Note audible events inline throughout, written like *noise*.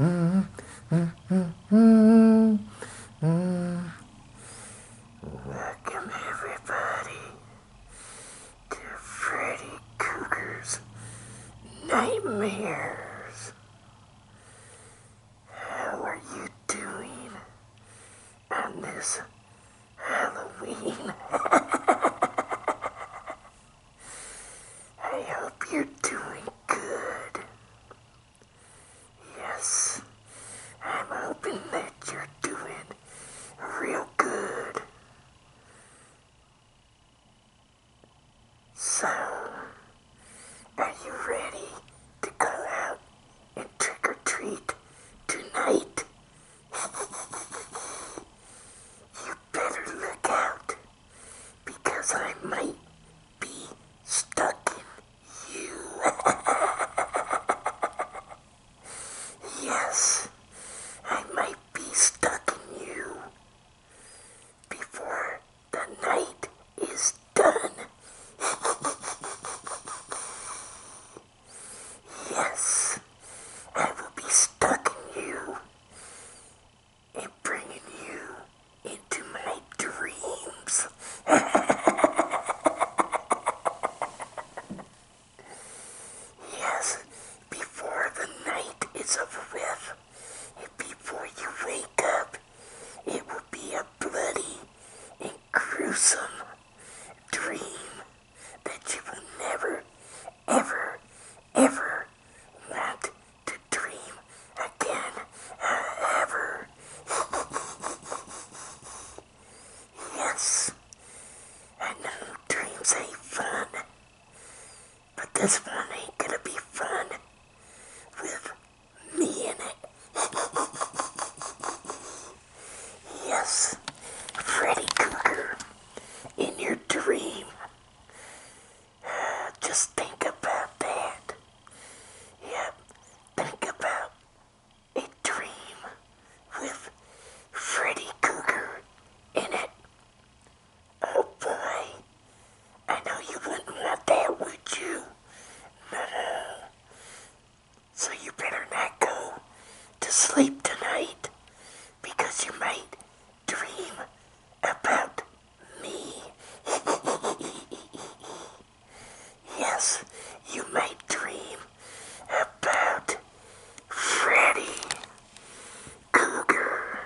Welcome everybody to Freddy Cougar's Nightmares. How are you doing on this Halloween? *laughs* I hope you're doing good. Yes, I'm hoping that you're doing real good. So, are you ready to go out and trick or treat tonight? *laughs* you better look out because I might be stuck in you. *laughs* yes, I might be stuck in you before the night is done. *laughs* yes, I will be stuck in you and bringing you into my dreams. yes, before the night is over and before you wake up, it will be a bloody and gruesome dream that you will never, ever, ever want to dream again uh, ever. *laughs* yes, I know dreams ain't fun, but this one ain't gonna be fun with me in it. *laughs* yes, Freddy Cougar, in your dream, *sighs* Just think about that. Yep, think about a dream with Freddy Cougar in it. Oh boy, I know you wouldn't want that, would you? no. So you better not go to sleep tonight because you might dream about me. *laughs* yes, you may dream about Freddy Cougar.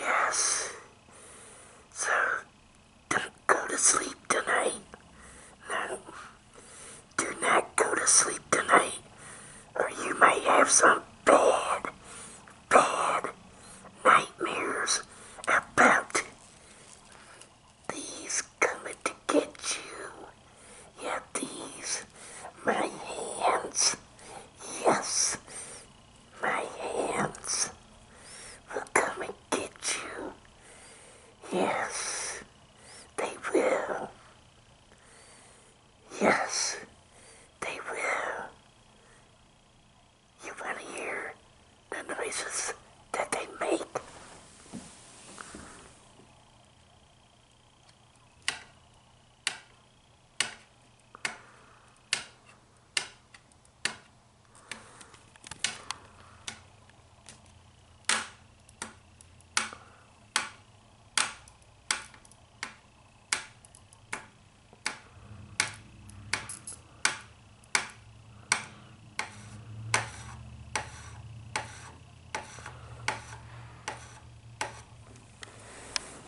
Yes. So, don't go to sleep tonight. No. Do not go to sleep tonight or you may have some bad, bad nightmares about these coming to get you. Yeah, these, my hands. Yes, my hands will come and get you. Yes, they will. Yes, they will. You want to hear the noises that they make?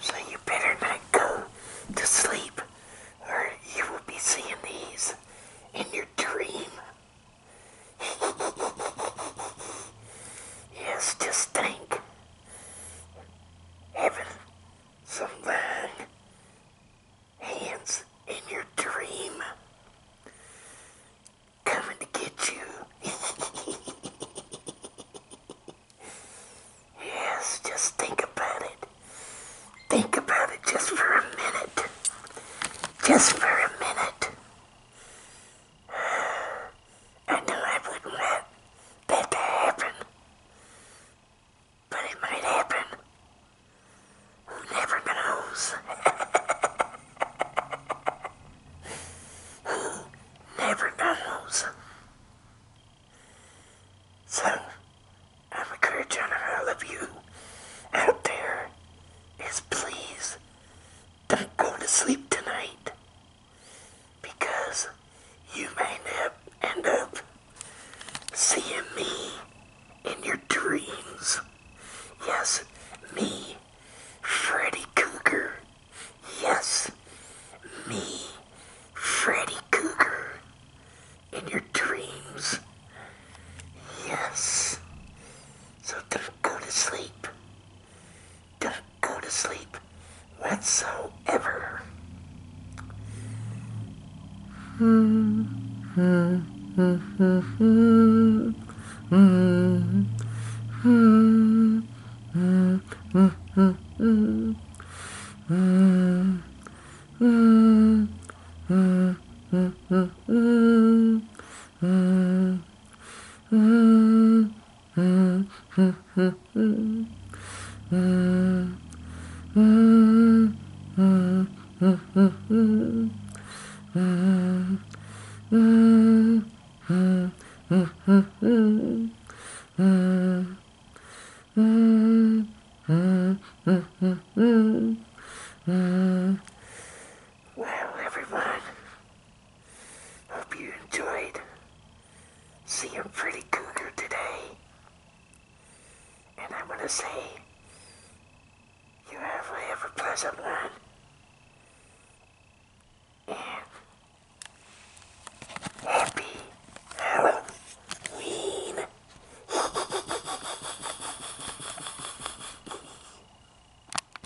So you better not go to sleep or you will be seeing these in your dream. *laughs* yes, just think having some bad Hands in your dream. Coming to get you. *laughs* yes, just think about it. Think about it just for a minute. Just for a minute. I knew I wouldn't let that to happen. But it might happen. Who never knows? *laughs* Who never knows? So, I'm encouraging all of you out there is please don't go to sleep tonight because you may end up seeing me in your dreams. Yes, me, Freddy Cougar. Yes, me, Freddy Cougar, in your dreams. Yes. So don't go to sleep. Don't go to sleep whatsoever. *laughs* Well, everyone, Hope you enjoyed seeing Pretty Cougar today. And I'm going to say, you have a, have pleasant one. And happy Halloween. *laughs*